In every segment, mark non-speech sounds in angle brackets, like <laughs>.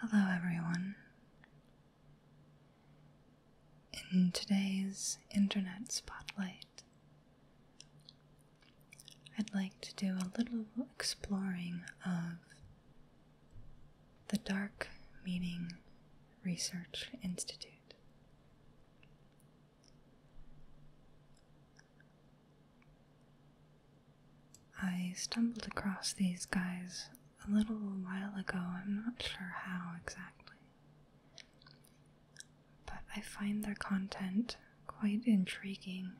Hello, everyone. In today's Internet Spotlight, I'd like to do a little exploring of the Dark Meaning Research Institute. I stumbled across these guys a little while ago, I'm not sure how exactly. But I find their content quite intriguing.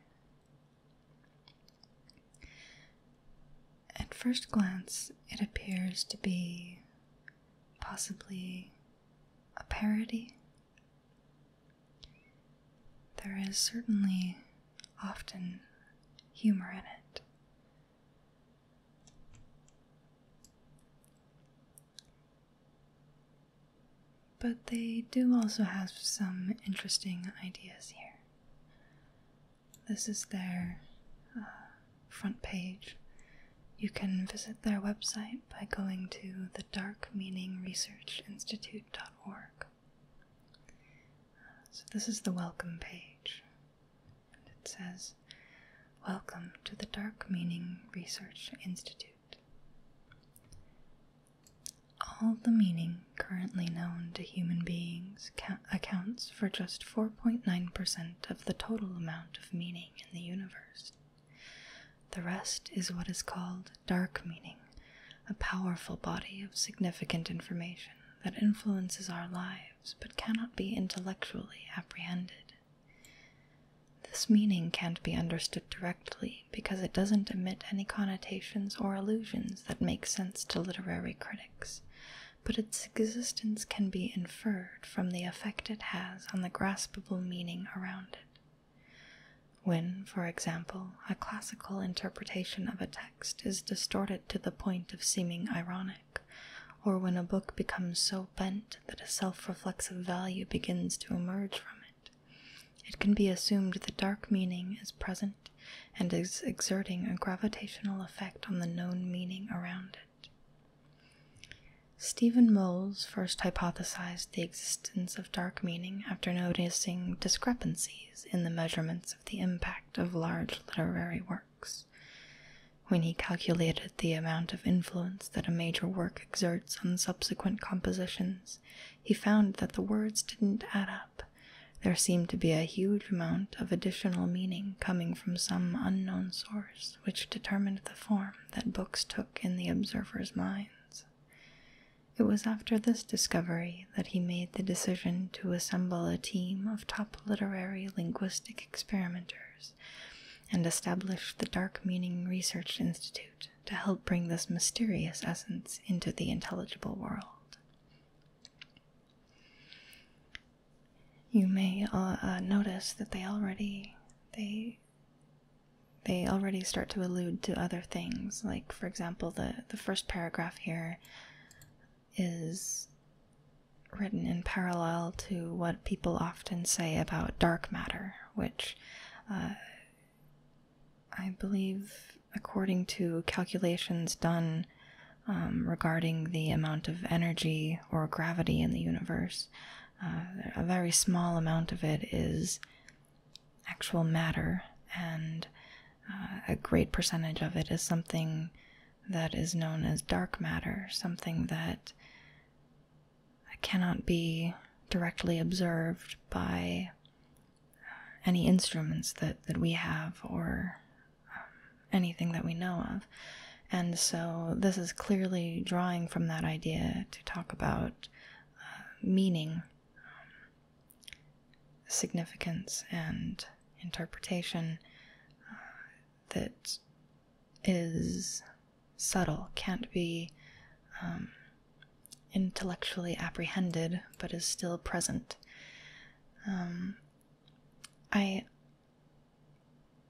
At first glance, it appears to be possibly a parody there is certainly often humor in it. But they do also have some interesting ideas here. This is their uh, front page. You can visit their website by going to the Dark Meaning Research Institute.org. Uh, so, this is the welcome page. And it says, Welcome to the Dark Meaning Research Institute. All the meaning currently known to human beings accounts for just 4.9% of the total amount of meaning in the universe. The rest is what is called dark meaning, a powerful body of significant information that influences our lives but cannot be intellectually apprehended. This meaning can't be understood directly because it doesn't emit any connotations or allusions that make sense to literary critics, but its existence can be inferred from the effect it has on the graspable meaning around it. When, for example, a classical interpretation of a text is distorted to the point of seeming ironic, or when a book becomes so bent that a self reflexive value begins to emerge from it, it can be assumed that dark meaning is present and is exerting a gravitational effect on the known meaning around it. Stephen Moles first hypothesized the existence of dark meaning after noticing discrepancies in the measurements of the impact of large literary works. When he calculated the amount of influence that a major work exerts on subsequent compositions, he found that the words didn't add up. There seemed to be a huge amount of additional meaning coming from some unknown source which determined the form that books took in the observers' minds. It was after this discovery that he made the decision to assemble a team of top literary linguistic experimenters and establish the Dark Meaning Research Institute to help bring this mysterious essence into the intelligible world. You may uh, uh, notice that they already they they already start to allude to other things. Like, for example, the, the first paragraph here is written in parallel to what people often say about dark matter, which uh, I believe, according to calculations done um, regarding the amount of energy or gravity in the universe, uh, a very small amount of it is actual matter, and uh, a great percentage of it is something that is known as dark matter, something that cannot be directly observed by uh, any instruments that, that we have or um, anything that we know of. And so this is clearly drawing from that idea to talk about uh, meaning, um, significance, and interpretation uh, that is subtle, can't be um, intellectually apprehended, but is still present. Um, I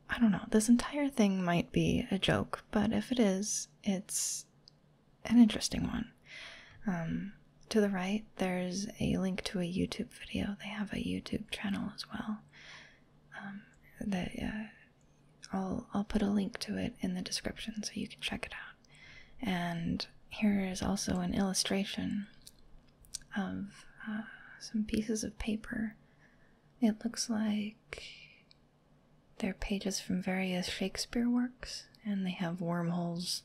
I don't know, this entire thing might be a joke, but if it is, it's an interesting one. Um, to the right, there's a link to a YouTube video. They have a YouTube channel as well. Um, that uh, I'll put a link to it in the description so you can check it out. And here is also an illustration of uh, some pieces of paper. It looks like they're pages from various Shakespeare works, and they have wormholes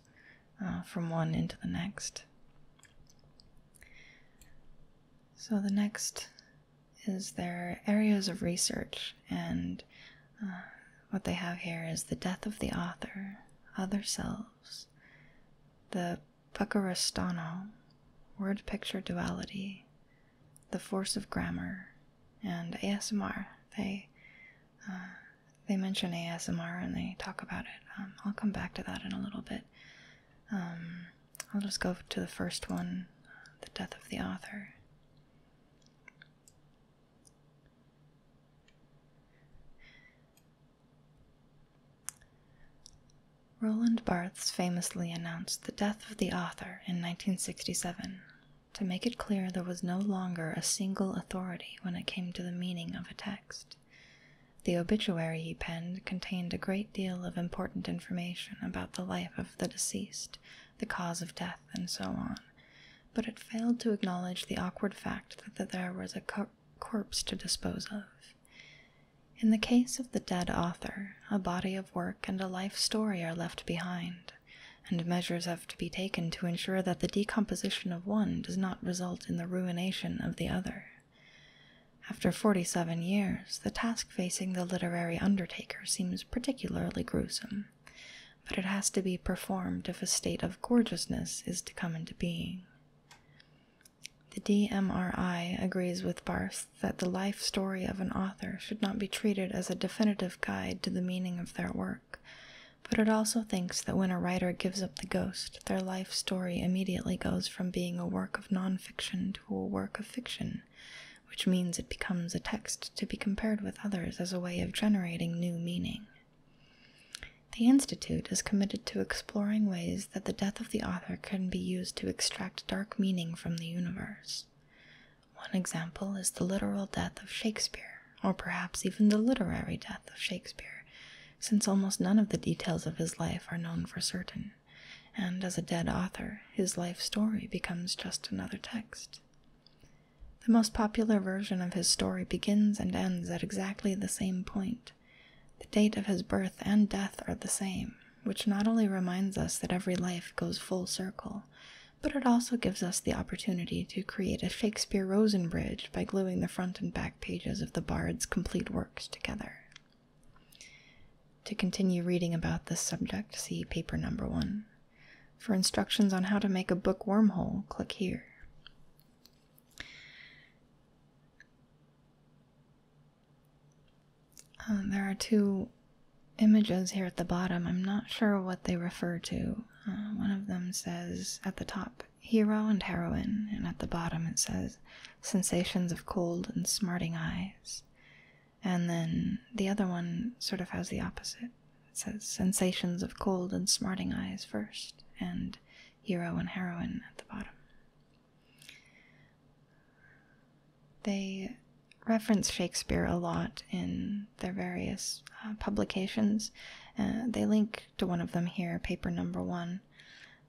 uh, from one into the next. So, the next is their areas of research, and uh, what they have here is the death of the author, other selves, the Puccarostano, word picture duality, the force of grammar and ASMR. They uh, they mention ASMR and they talk about it. Um, I'll come back to that in a little bit. Um, I'll just go to the first one, uh, the death of the author. Roland Barthes famously announced the death of the author in 1967 to make it clear there was no longer a single authority when it came to the meaning of a text. The obituary he penned contained a great deal of important information about the life of the deceased, the cause of death, and so on, but it failed to acknowledge the awkward fact that there was a corpse to dispose of. In the case of the dead author, a body of work and a life story are left behind, and measures have to be taken to ensure that the decomposition of one does not result in the ruination of the other. After 47 years, the task facing the literary undertaker seems particularly gruesome, but it has to be performed if a state of gorgeousness is to come into being. The DMRI agrees with Barth that the life story of an author should not be treated as a definitive guide to the meaning of their work, but it also thinks that when a writer gives up the ghost, their life story immediately goes from being a work of non-fiction to a work of fiction, which means it becomes a text to be compared with others as a way of generating new meaning. The Institute is committed to exploring ways that the death of the author can be used to extract dark meaning from the universe. One example is the literal death of Shakespeare, or perhaps even the literary death of Shakespeare, since almost none of the details of his life are known for certain, and as a dead author, his life story becomes just another text. The most popular version of his story begins and ends at exactly the same point. The date of his birth and death are the same, which not only reminds us that every life goes full circle, but it also gives us the opportunity to create a Shakespeare Rosenbridge by gluing the front and back pages of the Bard's complete works together. To continue reading about this subject, see paper number one. For instructions on how to make a book wormhole, click here. Um, there are two images here at the bottom. I'm not sure what they refer to. Uh, one of them says at the top, hero and heroine, and at the bottom it says, sensations of cold and smarting eyes. And then the other one sort of has the opposite. It says sensations of cold and smarting eyes first, and hero and heroine at the bottom. They reference Shakespeare a lot in their various uh, publications. Uh, they link to one of them here, paper number one.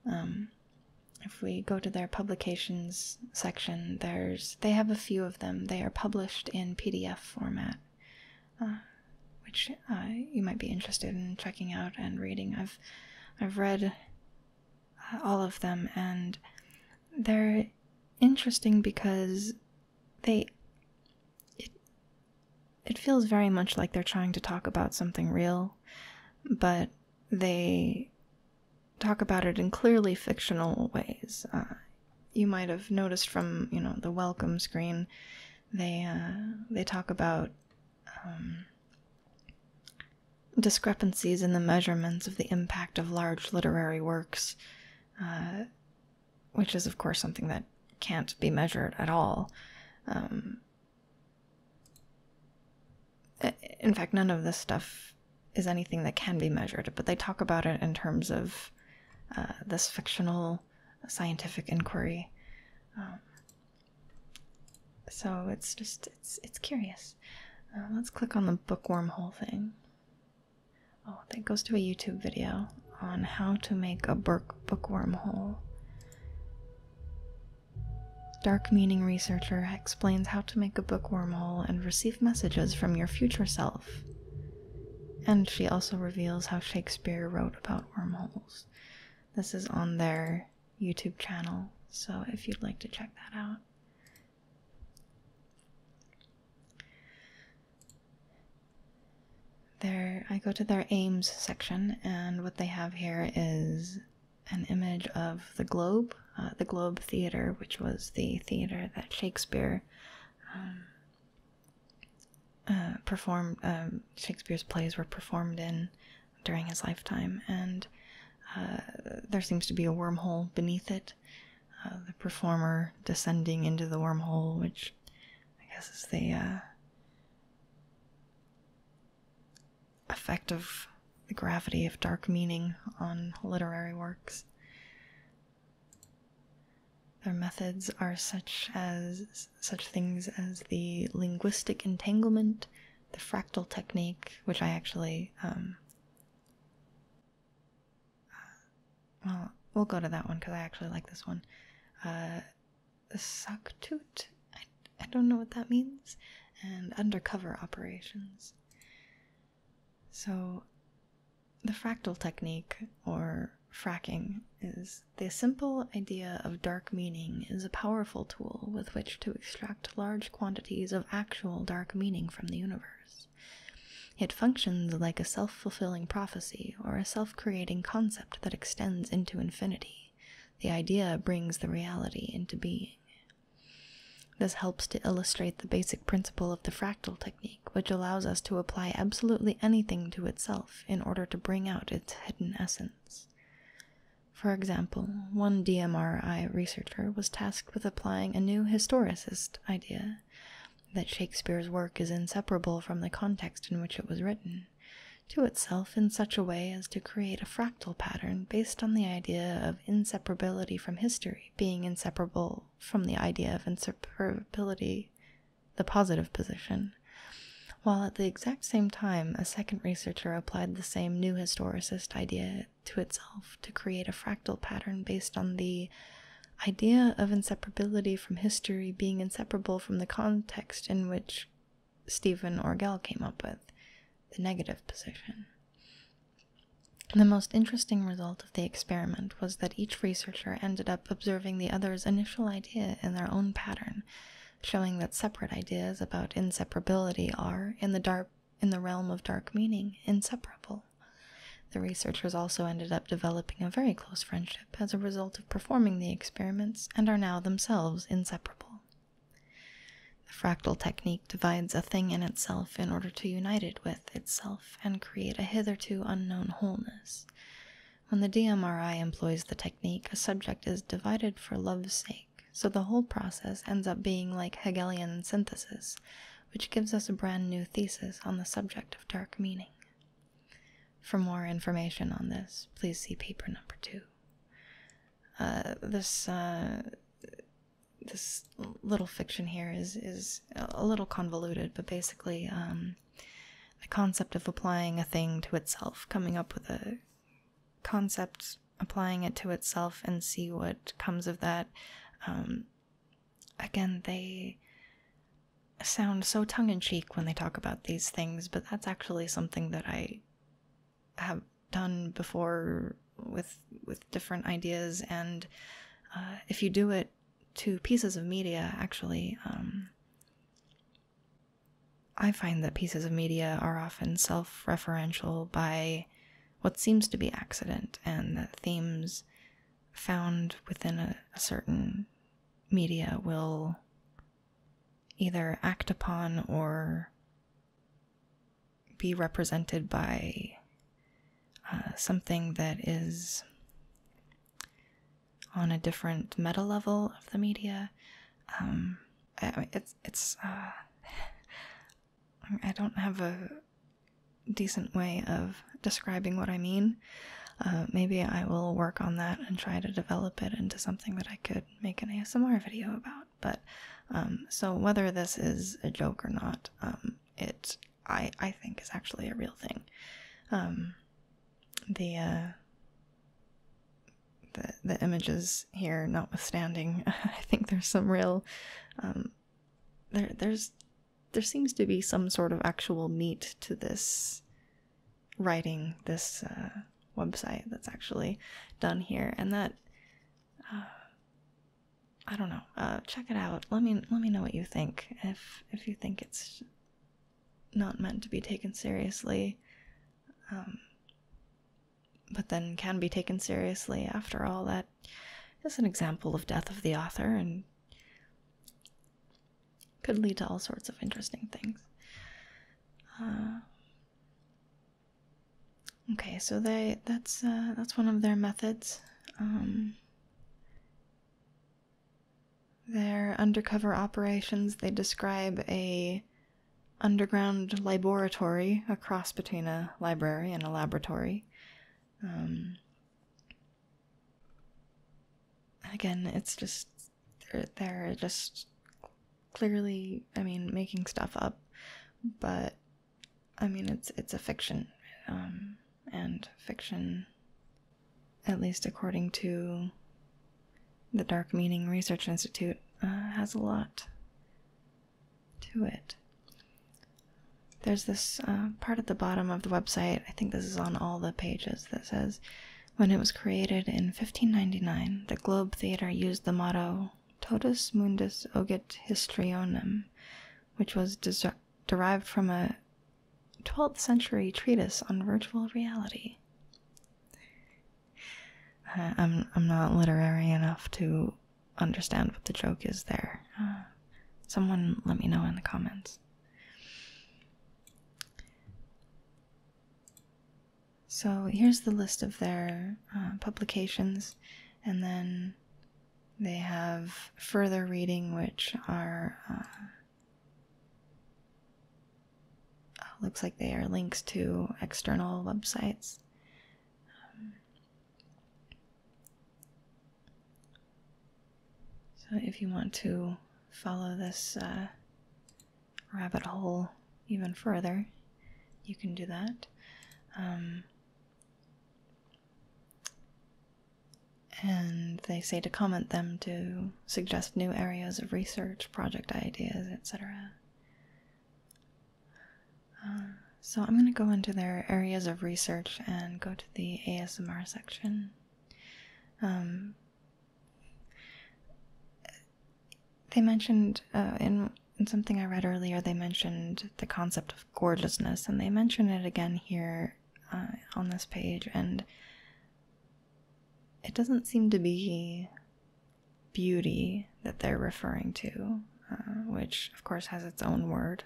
Um, if we go to their publications section, there's they have a few of them. They are published in PDF format, uh, which you might be interested in checking out and reading. I've I've read all of them, and they're interesting because they it, feels very much like they're trying to talk about something real, but they talk about it in clearly fictional ways. Uh, you might have noticed from you know the welcome screen, they uh, they talk about um, discrepancies in the measurements of the impact of large literary works, uh, which is, of course, something that can't be measured at all. Um, in fact, none of this stuff is anything that can be measured, but they talk about it in terms of uh, this fictional scientific inquiry. Um, so it's just it's it's curious. Uh, let's click on the bookworm hole thing. Oh, that goes to a YouTube video on how to make a book bookworm hole. Dark Meaning Researcher explains how to make a bookworm hole and receive messages from your future self. And she also reveals how Shakespeare wrote about wormholes. This is on their YouTube channel, so if you'd like to check that out, there, I go to their aims section, and what they have here is an image of the Globe, uh, the Globe Theater, which was the theater that Shakespeare um, uh, performed. Um, Shakespeare's plays were performed in during his lifetime, and uh, there seems to be a wormhole beneath it. Uh, the performer descending into the wormhole, which I guess is the uh, effect of the gravity of dark meaning on literary works. Their methods are such as such things as the linguistic entanglement, the fractal technique, which I actually um, well, we'll go to that one because I actually like this one. Uh, Saktut? I, I don't know what that means. And undercover operations. So, the fractal technique, or fracking, is the simple idea of dark meaning is a powerful tool with which to extract large quantities of actual dark meaning from the universe. It functions like a self fulfilling prophecy or a self creating concept that extends into infinity. The idea brings the reality into being. This helps to illustrate the basic principle of the fractal technique, which allows us to apply absolutely anything to itself in order to bring out its hidden essence. For example, one DMRI researcher was tasked with applying a new historicist idea that Shakespeare's work is inseparable from the context in which it was written to itself in such a way as to create a fractal pattern based on the idea of inseparability from history being inseparable from the idea of inseparability, the positive position. While at the exact same time, a second researcher applied the same new historicist idea to itself to create a fractal pattern based on the idea of inseparability from history being inseparable from the context in which Stephen Orgel came up with the negative position. The most interesting result of the experiment was that each researcher ended up observing the other's initial idea in their own pattern, showing that separate ideas about inseparability are, in the dark in the realm of dark meaning, inseparable. The researchers also ended up developing a very close friendship as a result of performing the experiments and are now themselves inseparable. The fractal technique divides a thing in itself in order to unite it with itself and create a hitherto unknown wholeness. When the DMRI employs the technique, a subject is divided for love's sake so the whole process ends up being like Hegelian synthesis, which gives us a brand new thesis on the subject of dark meaning. For more information on this, please see paper number two. Uh, this uh, this little fiction here is is a little convoluted, but basically um, the concept of applying a thing to itself, coming up with a concept applying it to itself and see what comes of that. Um, again, they sound so tongue in cheek when they talk about these things, but that's actually something that I have done before with with different ideas. And uh, if you do it to pieces of media, actually. Um, I find that pieces of media are often self referential by what seems to be accident and that themes found within a, certain media will either act upon or be represented by uh, something that is on a different meta level of the media. Um, it's it's uh, I don't have a decent way of describing what I mean. Uh, maybe I will work on that and try to develop it into something that I could make an ASMR video about. But um, so whether this is a joke or not, um, it I I think is actually a real thing. Um, the uh, the the images here, notwithstanding. <laughs> I think there's some real um, there there's there seems to be some sort of actual meat to this writing, this uh, website that's actually done here, and that uh, I don't know. Uh, check it out. Let me let me know what you think. If if you think it's not meant to be taken seriously, um, but then can be taken seriously. After all, that is an example of death of the author and could lead to all sorts of interesting things. Uh, okay, so they that's uh, that's one of their methods. Um, their undercover operations, they describe a underground laboratory, a cross between a library and a laboratory. Um, again, it's just they're, just clearly, I mean, making stuff up, but I mean, it's it's a fiction, um, and fiction, at least according to the Dark Meaning Research Institute, uh, has a lot to it. There's this uh, part at the bottom of the website, I think this is on all the pages, that says when it was created in 1599, the Globe Theatre used the motto Totus Mundus Ogit Histrionem, which was derived from a 12th century treatise on virtual reality. Uh, I'm, I'm not literary enough to understand what the joke is there. Uh, someone let me know in the comments. So here's the list of their uh, publications, and then they have further reading, which are uh, looks like they are links to external websites so, if you want to follow this uh, rabbit hole even further, you can do that. Um, and they say to comment them to suggest new areas of research, project ideas, etc. Um, so I'm going to go into their areas of research and go to the ASMR section. Um, they mentioned uh, in, something I read earlier, they mentioned the concept of gorgeousness, and they mention it again here uh, on this page, and it doesn't seem to be beauty that they're referring to, uh, which of course has its own word.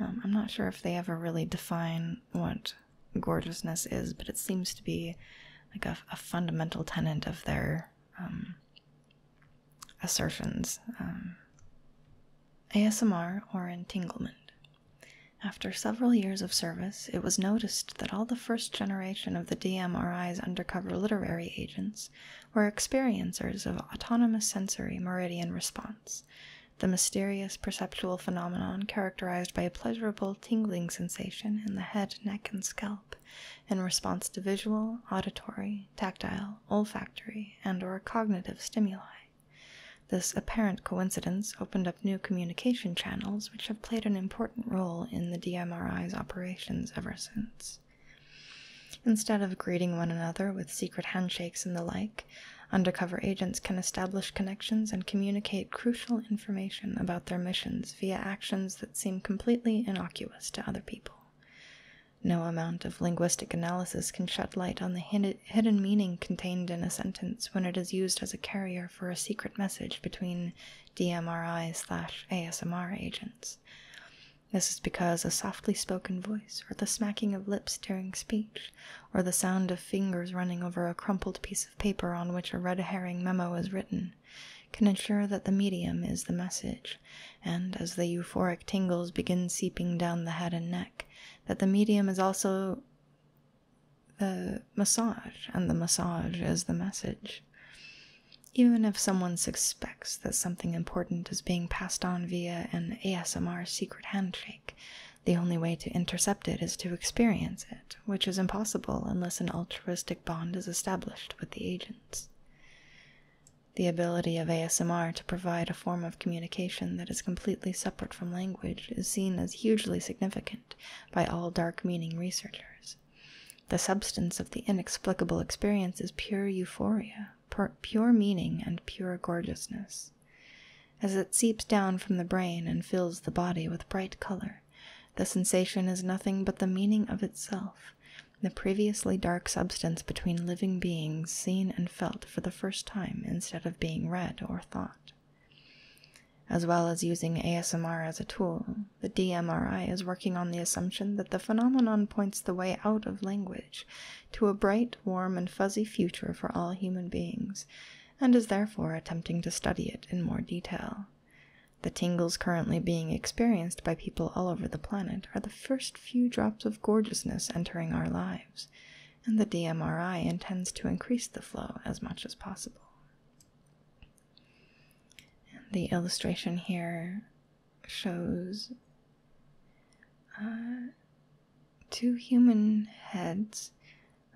Um, I'm not sure if they ever really define what gorgeousness is, but it seems to be like a, fundamental tenet of their um, assertions. Um, ASMR or entanglement. After several years of service, it was noticed that all the first generation of the DMRI's undercover literary agents were experiencers of autonomous sensory meridian response, the mysterious perceptual phenomenon characterized by a pleasurable tingling sensation in the head, neck, and scalp in response to visual, auditory, tactile, olfactory, and or cognitive stimuli. This apparent coincidence opened up new communication channels which have played an important role in the DMRI's operations ever since. Instead of greeting one another with secret handshakes and the like, undercover agents can establish connections and communicate crucial information about their missions via actions that seem completely innocuous to other people. No amount of linguistic analysis can shed light on the hidden meaning contained in a sentence when it is used as a carrier for a secret message between DMRI slash ASMR agents. This is because a softly spoken voice, or the smacking of lips during speech, or the sound of fingers running over a crumpled piece of paper on which a red herring memo is written, can ensure that the medium is the message, and as the euphoric tingles begin seeping down the head and neck, that the medium is also the massage, and the massage is the message. Even if someone suspects that something important is being passed on via an ASMR secret handshake, the only way to intercept it is to experience it, which is impossible unless an altruistic bond is established with the agents. The ability of ASMR to provide a form of communication that is completely separate from language is seen as hugely significant by all dark meaning researchers. The substance of the inexplicable experience is pure euphoria, pure meaning, and pure gorgeousness. As it seeps down from the brain and fills the body with bright color, the sensation is nothing but the meaning of itself, the previously dark substance between living beings seen and felt for the first time instead of being read or thought. As well as using ASMR as a tool, the DMRI is working on the assumption that the phenomenon points the way out of language to a bright, warm, and fuzzy future for all human beings, and is therefore attempting to study it in more detail. The tingles currently being experienced by people all over the planet are the first few drops of gorgeousness entering our lives, and the DMRI intends to increase the flow as much as possible. And the illustration here shows uh, two human heads,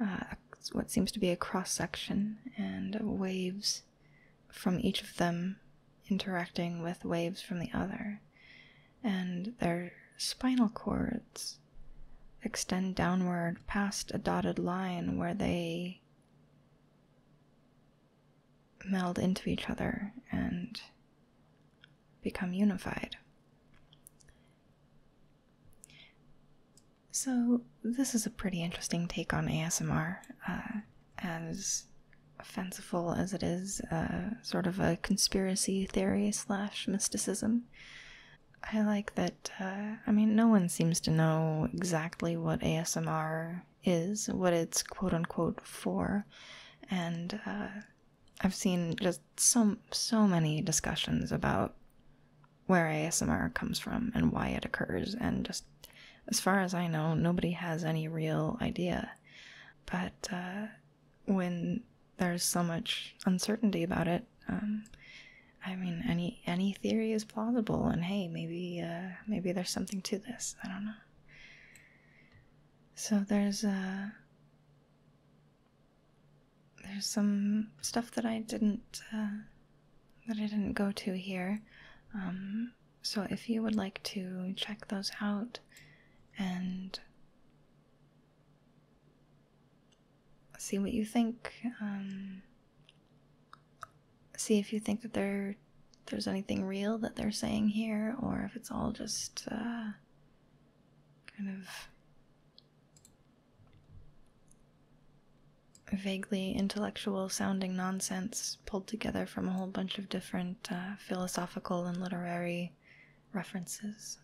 uh, what seems to be a cross section, and waves from each of them interacting with waves from the other. And their spinal cords extend downward past a dotted line where they meld into each other and become unified. So, this is a pretty interesting take on ASMR, uh, as fanciful as it is, uh, sort of a conspiracy theory slash mysticism. I like that, uh, I mean, no one seems to know exactly what ASMR is, what it's quote unquote for, and uh, I've seen just so so many discussions about where ASMR comes from and why it occurs, and just as far as I know, nobody has any real idea. But uh, when there's so much uncertainty about it, um, I mean, any any theory is plausible, and hey, maybe uh, maybe there's something to this. I don't know so there's uh there's some stuff that I didn't uh, that I didn't go to here. Um, so if you would like to check those out and see what you think, um, see if you think that there there's anything real that they're saying here, or if it's all just uh, kind of vaguely intellectual sounding nonsense pulled together from a whole bunch of different uh, philosophical and literary references.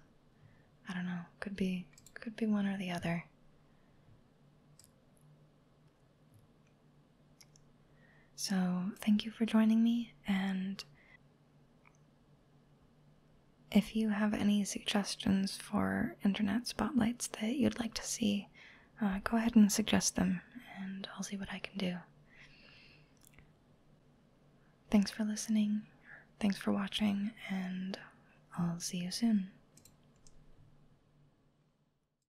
I don't know. Could be could be one or the other. So, thank you for joining me, and if you have any suggestions for internet spotlights that you'd like to see, uh, go ahead and suggest them, and I'll see what I can do. Thanks for listening, thanks for watching, and I'll see you soon.